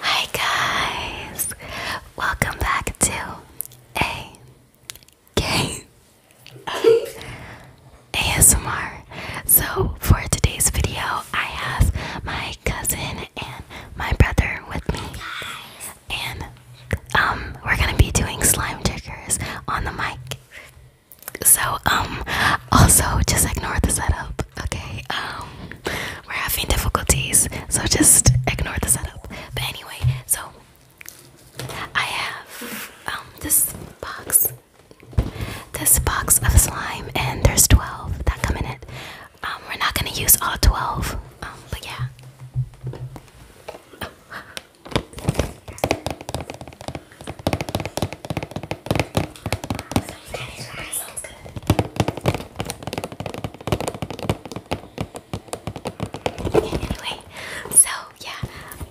Hi guys, welcome back to a K ASMR. So for today's video, I have my cousin and my brother with me, and um, we're gonna be doing slime triggers on the mic. So um, also just ignore the setup, okay? Um, we're having difficulties, so just ignore the setup. But anyway, so I have um, this box, this box of slime, and there's 12 that come in it. Um, we're not gonna use all 12, um, but yeah so Anyway, so yeah.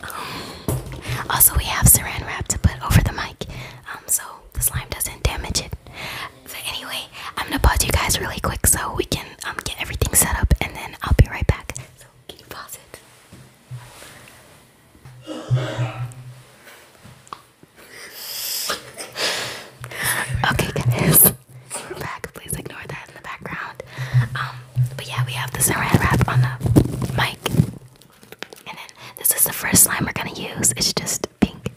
Um, also, we have saran wrap to put over the mic, um, so the slime doesn't damage it. So anyway, I'm gonna pause you guys really quick so we can um, get everything set up, and then I'll be right back. So can you pause it? okay, guys, we're back. Please ignore that in the background. Um, but yeah, we have the saran wrap on the mic, and then this is the first slime we're gonna use. It's just pink.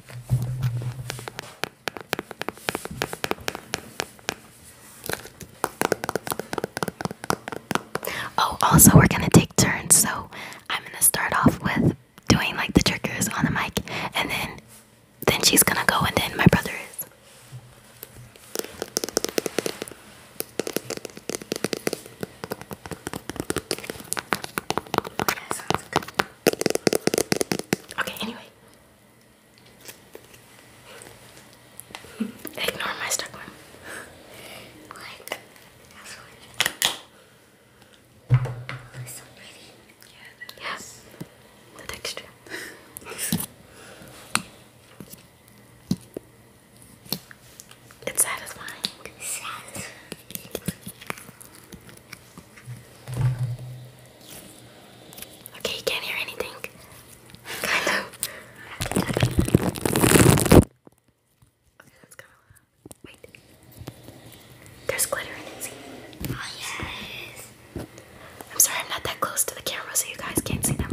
Oh, also, we're gonna take turns, so I'm gonna start off with doing like the triggers on the mic and then then she's gonna go and then my brother is Okay, anyway. Ignore my stuck one. That's so pretty. Yeah, yes. The texture. it's Satisfying. Okay, you can't hear anything. kind of. Okay, that's kind of loud. Wait. There's glitter in it, see? Oh, yes. I'm sorry, I'm not that close to the camera, so you guys can't see that much.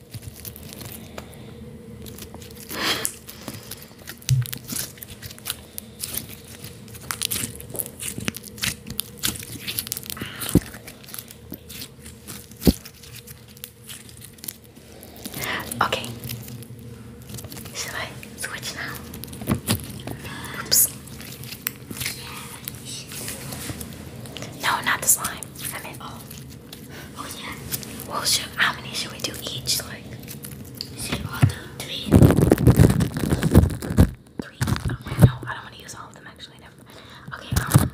Okay. Shall I switch now? Oops. No, not the slime. oh. Oh, well, should, how many should we do each? Like, say all the three. Three. no, I don't want to use all of them. Actually, never. No. Okay. Um.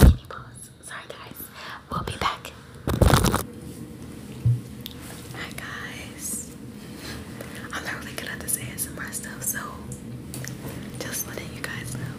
can you pause? Sorry, guys. We'll be back. Hi guys. I'm not really good at this ASMR stuff, so just letting you guys know.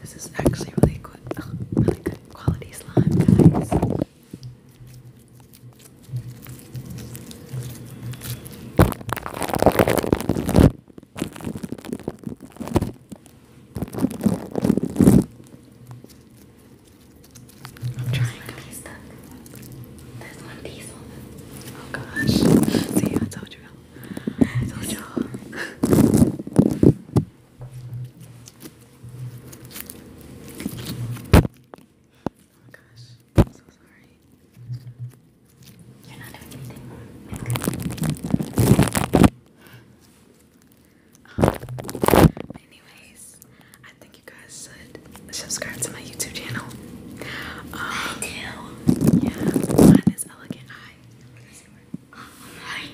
This is actually really good, really good quality slime, guys. I'm trying to be stuck. There's one piece on Oh gosh. See, I told you. I told you. Oh gosh. I'm so sorry. You're not doing anything anyways, I think you guys should subscribe to my YouTube channel. I um, do. Yeah, mine is Elegant Eye. What is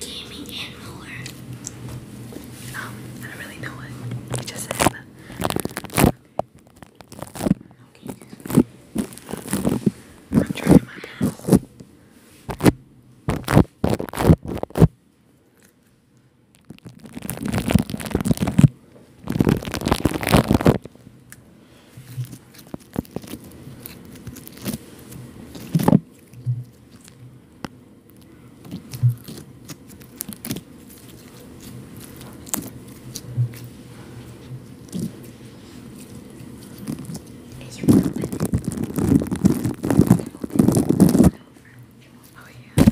Gaming and more. Um, I don't really know what you just said. Okay. I'm trying my best. Is your phone open? Is it open? Oh yeah.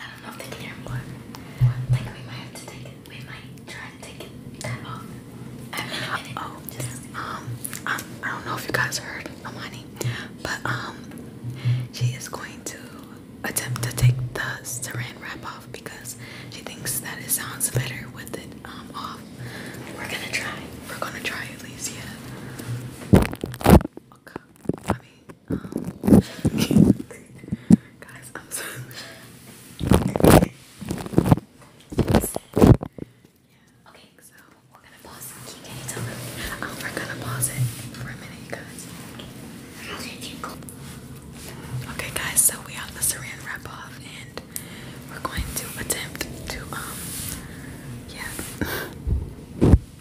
I don't know if they can hear me. What? What? Like to try and take it off. I oh, um, I don't know if you guys heard Amani, but um, she is going to attempt to take the saran wrap off because she thinks that it sounds better with it um off. We're gonna try. We're gonna try at least, yeah. I mean, um, guys, I'm sorry. Yeah. Okay, so we're gonna pause. Can, can tell me? Oh, we're gonna pause it for a minute, you guys. Okay, guys, so we have the saran wrap off, and we're going to attempt to, um, yeah.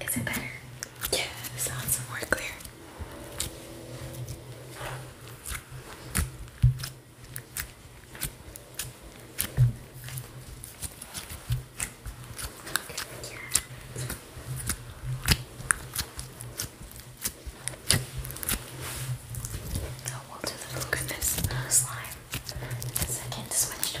Is it better? Yeah, sounds more clear. Yeah. Oh, we'll do the look slime in second switch to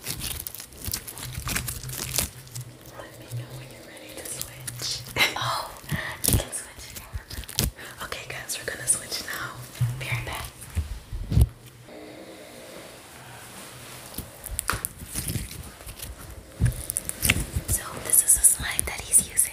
Let me know when you're ready to switch. oh, you can switch now. Okay, guys, we're gonna switch now. Be right So, this is a slide that he's using.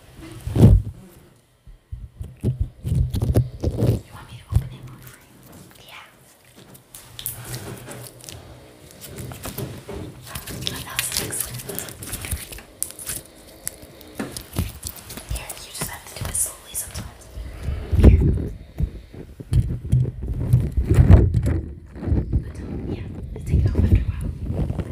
You want me to open it more for you? Yeah. Oh, that was excellent. Yeah, you just have to do it slowly sometimes. Here. But, um, yeah, let's take it off after a while. But, you know,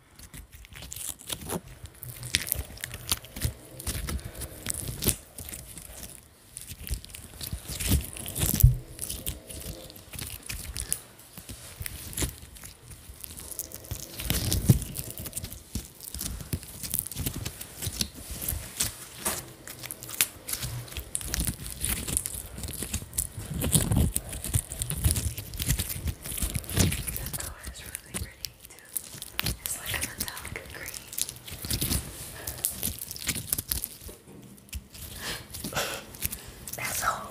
This color is really pretty. It's like a metallic green. That's all.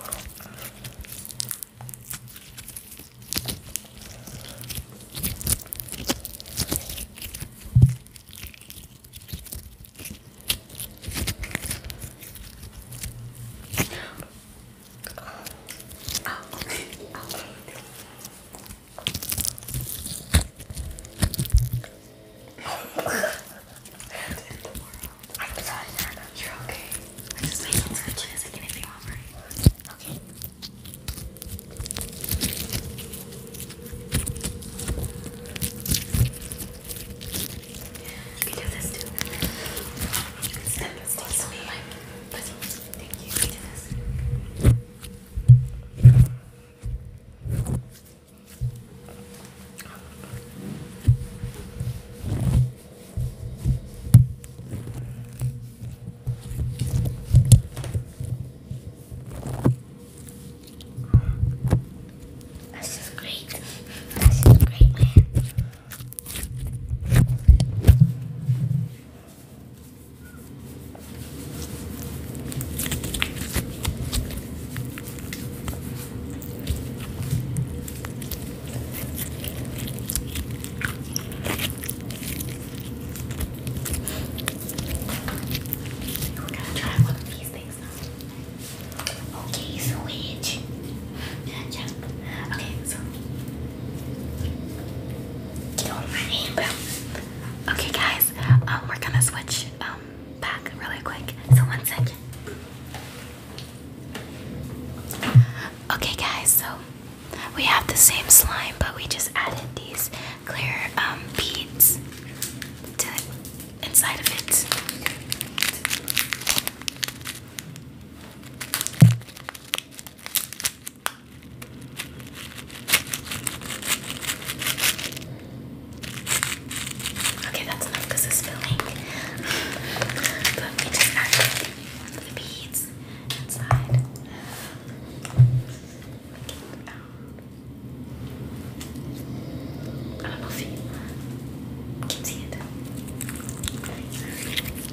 Oh, okay. Okay. what in the world? I'm sorry, Nana. You're okay. I just made some searches and get anything off right. Okay. You can do this too. You can step this to me. Like, Thank you, This is great. This is great, man. We're gonna try one of these things now. Okay, switch. Okay, so get on my Okay, guys, um, we're gonna switch um back really quick. So one second. Okay, guys, so we have the same slime, but we just added these clear um beads to inside of it. Okay, that's enough because it's filling. But we just add the beads inside. I don't know if you can see it.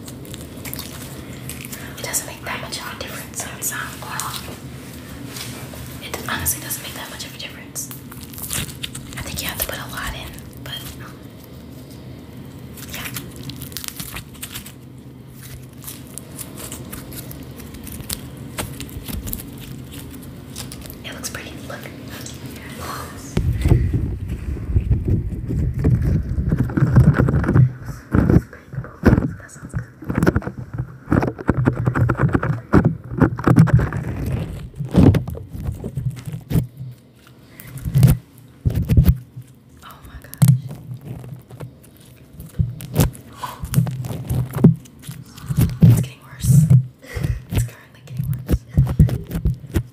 It doesn't make that much of a difference. It honestly doesn't make that much of a difference. I think you have to put a lot in, but yeah. It looks pretty. Look. Oh my gosh. It's getting worse. It's currently getting worse.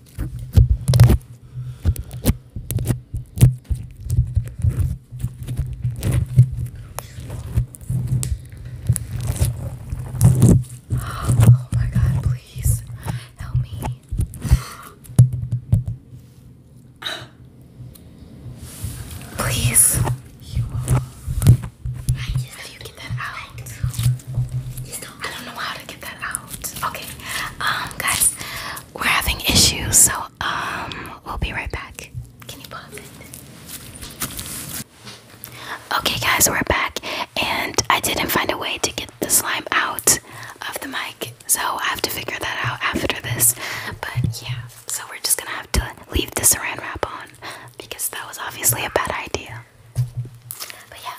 Oh my god, please help me. Please. I just How you get that out? I don't know how to get that out. Okay. Um guys, we're having issues, so um, we'll be right back. Can you pause it? Okay, guys, we're back, and I didn't find a way to get the slime out of the mic, so I have to figure that out after this. But yeah, so we're just gonna have to leave the saran wrap on because that was obviously a bad idea. But yeah.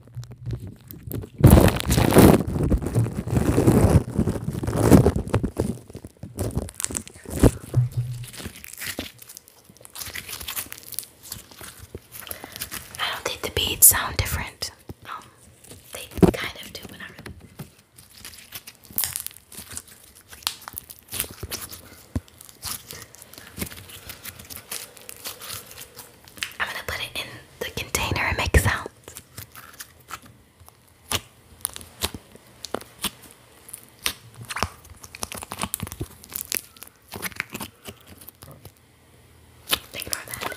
I don't think the beads sound different. Um, they kind of do, but not I'm gonna put it in the container and make sounds. Ignore that.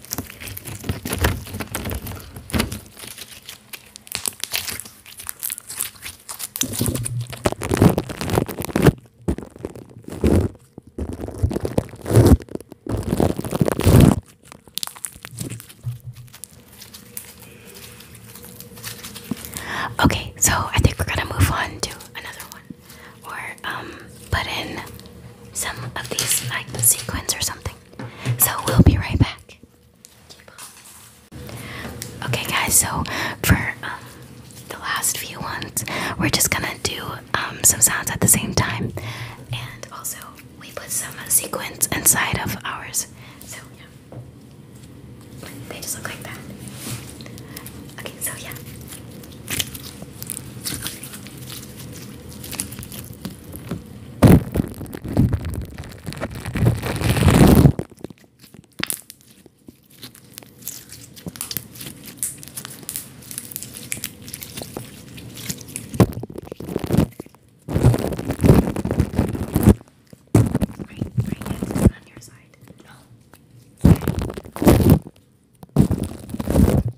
Okay, so I think we're gonna move on to another one, or um, put in some of these like sequins or something. So we'll be right back. Okay, guys. So for um, the last few ones, we're just gonna do um, some sounds at the same time, and also we put some sequins inside of ours. So yeah, they just look like that. Okay, so yeah. Right, right hand on your side. No. Okay.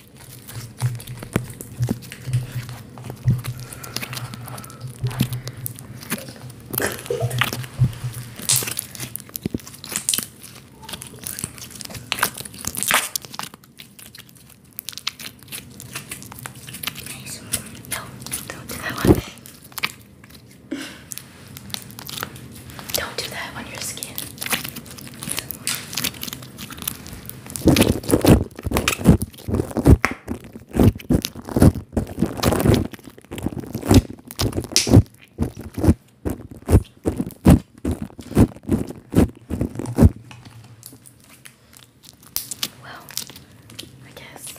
Nice. No, don't do that one. Don't do that on your skin. Well, I guess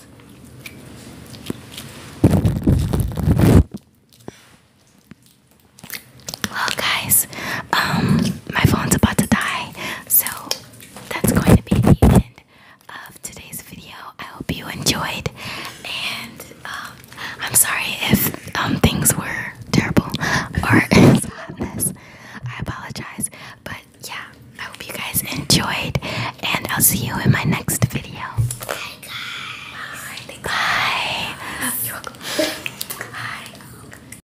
well guys um my phone's about to die so that's going to be the end of today's video. I hope you enjoyed, and um, I'm sorry if um, things were terrible or it's I apologize, but yeah, I hope you guys enjoyed, and I'll see you in my next video. Bye, guys. Bye. Bye.